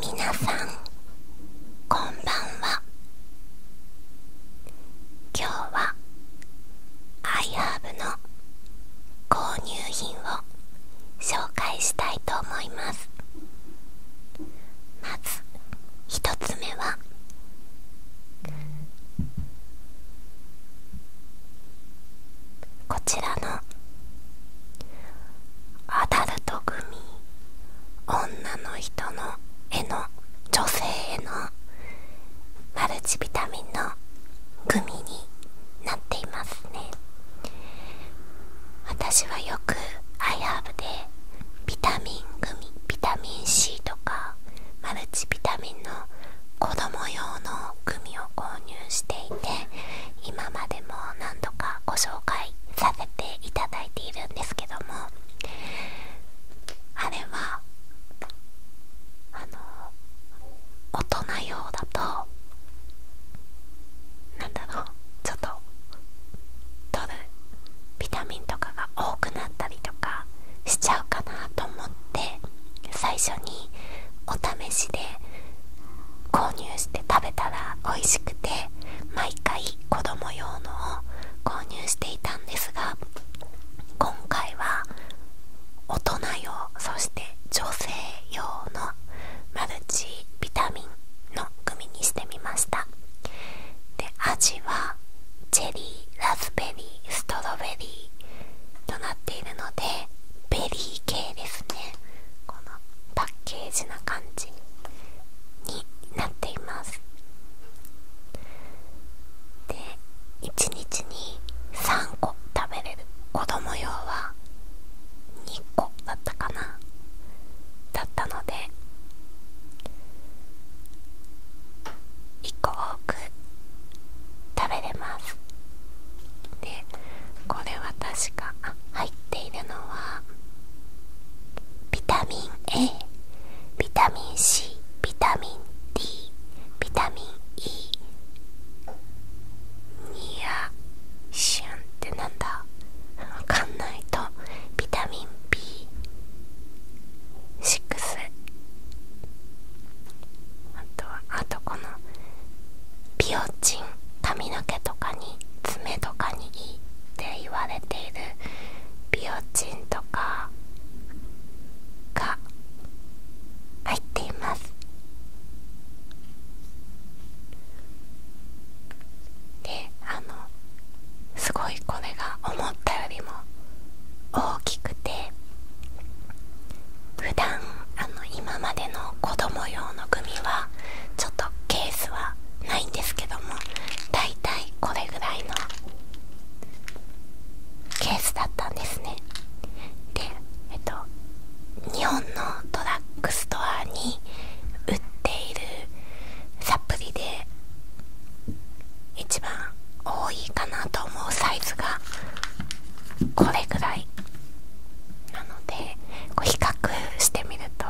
皆さんこんばんは今日はアイアーブの購入品を紹介したいと思いますまず1つ目はこちらのアダルトグミ女の人のへの女性へのマルチビタミンのグミになっていますね私はよくアヤーブでビタミングミビタミン C とかマルチビタミンの子供用のグミを購入していて今までも何度かご紹介させていただいているんですけどもあれはあの大人用だと何だろうちょっと取るビタミンとかが多くなったりとかしちゃうかなと思って最初にお試しで購入して食べたら美味しくて毎回子供用のを購入していたんですが今回は大人用そして女性用のマルチビタミンの組にしてみましたで味はチェリーラズベリーストロベリーとなっているのでベリー系ですねこのパッケージな感じになっていますで1日に3個食べれる子供用は2個だったかなだったので1個多く食べれますでこれは確かあ入っているのはビタミン A ビタミン C ビタミン D ビタミン E ニアシュンってなんだわかんないとビタミン B6 あとはあとこのピオチン髪の毛とかに爪とかにいいって言われているビオチンとかが入っていますであのすごいこれが思ったよりも大きくて普段あの今までの子供用のグミはちょっとケースはないんですけども大体これぐらいのケースだったんですねでえっと日本のドラッグストアに売っているサプリで一番多いかなと思うサイズがこれぐらいなのでこう比較してみると、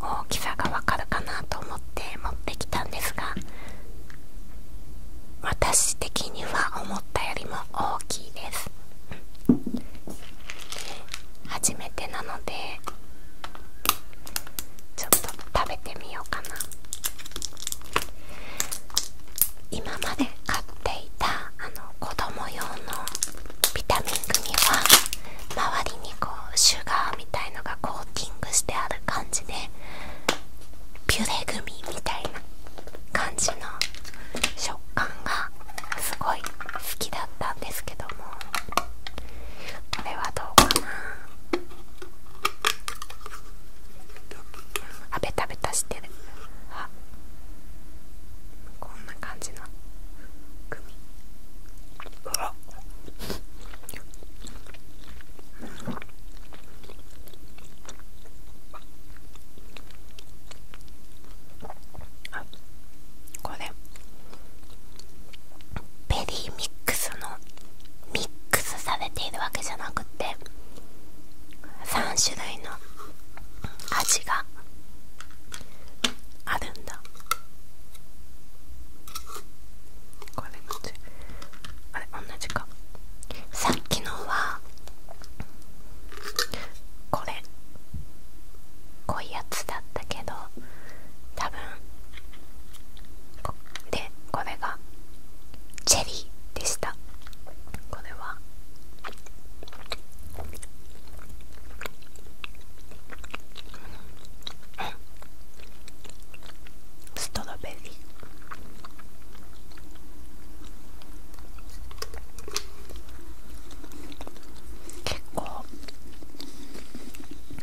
大きさがわかるかなと思って持ってきたんですが私的には思ったよりも大きいです初めてなのでちょっと食べてみようかな今まで買っていたあの子供用のビタミン組は周りにこうシュガーみたいのがコーティングしてある感じでピュレグミみたいな感じの食感がすごい好きだったんですけどもこれはどうかなあベタベタしてるあこんな感じのグミうわあこれベリーミックスのミックスされているわけじゃなくて3種類の味があるんだこれもちあれ同じかさっきのはこれ濃いやつだったけど多分でこれがチェリーでしたこれはストロベリー結構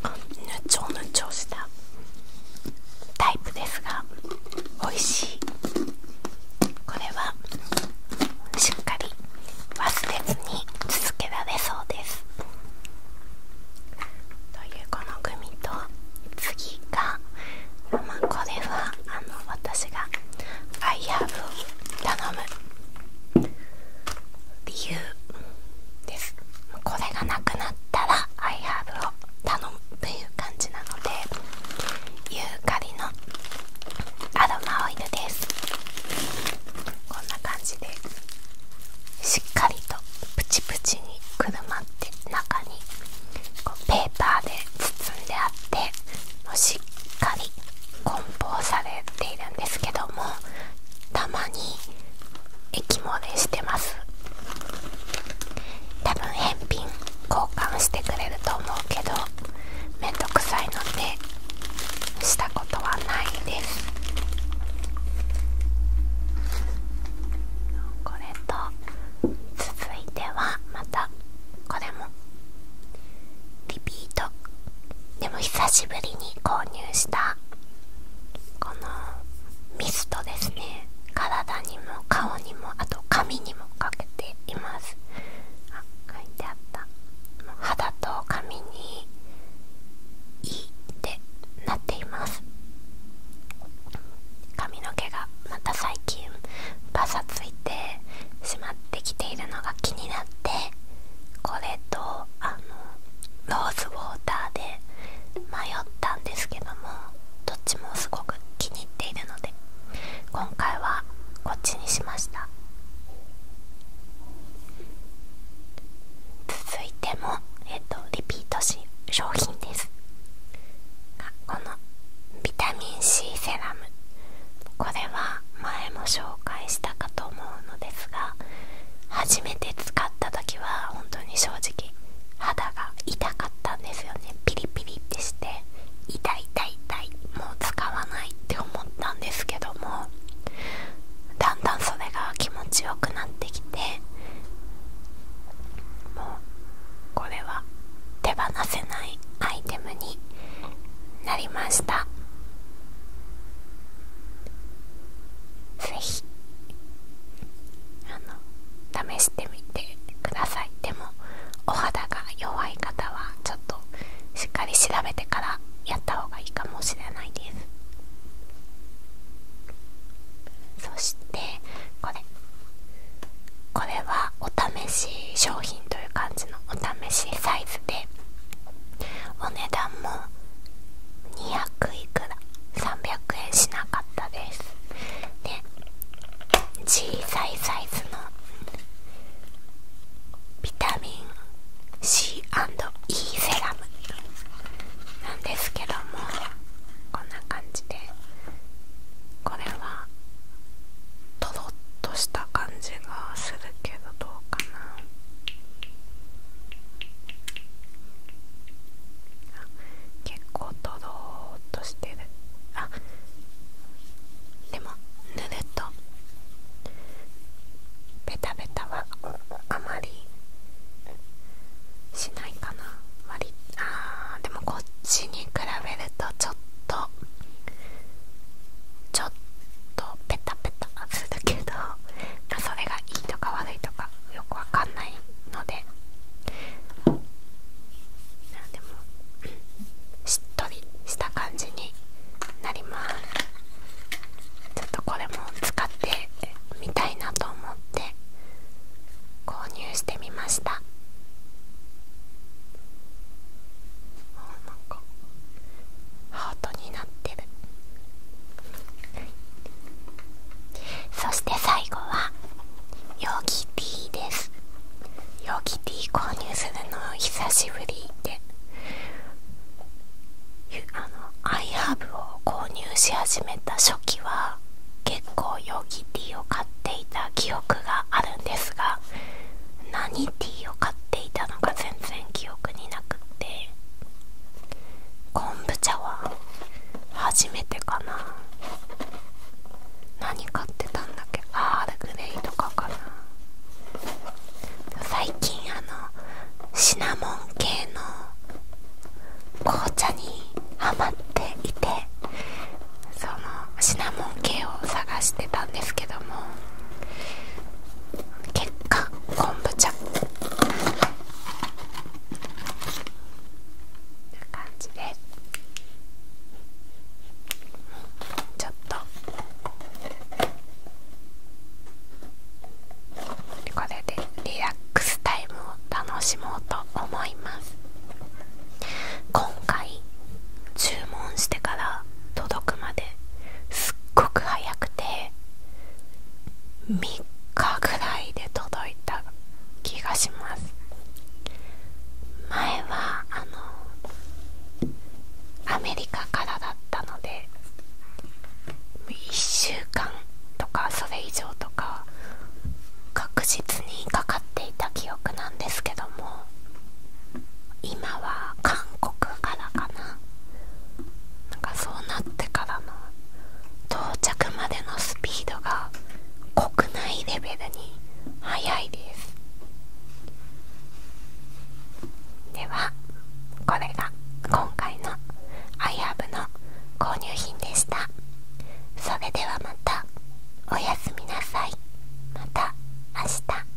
ぬちょぬちょしたタイプですが美味しいこれはしっかり忘れずに続けられそうですというこのグミと次がまあこれはあの私がアイハーブを頼む理由ですこれがなくなったらアイハーブ頼むという感じなのでユーカリのアロマオイルですこんな感じでしっかりとプチプチにくるまって中にペーパーで包んであってもうしっかり梱包されているんですけどもたまに液漏れしてます多分返品交換してくれると思うけどめんどくさいのでしたことはないですこれと続いてはまたこれもリピートでも久しぶりに購入したこのミストですね体にも顔にもあと髪にもかけていますあ書いてあったもう肌と髪にいいってなっています髪の毛がまた最近バサついてしまってきているのが気になってこれとあのローズウォーターで迷ったんですけどどっちもすごく気に入っているので今回はこっちにしました続いても、えっと、リピートし商品ですこのビタミン C セラムこれは前も紹介したかと思うのですが初めて使った時は本当に正直肌が痛かったんですよねピリピリってして痛い痛い痛いもう使わないって思ったんですけどもだんだんそれが気持ちよくなってきてもうこれは手放せないアイテムになりました是非！あの試してみてくださいでもお肌が弱い方はちょっとしっかり調べてからやった方がいいかもしれないですそしてこれこれはお試し商品という感じのお試しサイズでお値段も200いくら300円しなかったですで、小さいサイズのビタミン C&E セラムなんですけどもこんな感じでこれはとろっとした感じがするけどどうかな結構とろーっとしてるあでもぬるとベタベタはあまりしないかな割あーでもこっちに比べるとちょっとちょっとペタペタするけどそれがいいとか悪いとかよくわかんないのででもしっとりした感じになりますちょっとこれも使ってみたいなと思って購入してみましたなんかハートになってるそして最後はヨギティーですヨギティー購入するの久しぶりであのアイハーブを購入し始めた初期は結構ヨギティーを買っていた記憶があるんですが何ティーを買っていたのか全然記憶になくって昆布茶は初めてかな何買ってたんだっけアールグレイとかかな最近あのシナモン系の紅茶にハマっていてそのシナモン系を探してたんですけども結果昆布茶感じでちょっとこれでリラックスタイムを楽しもうと思います今回注文してから届くまですっごく早くて3日ぐらいで届いた気がします前はあのアメリカからだったので1週間とかそれ以上とか確実にかかっていた記憶なんですけども今は韓国からかななんかそうなってから到着までのスピードが国内レベルに速いですではこれが今回のアイハブの購入品でしたそれではまたおやすみなさいまた明日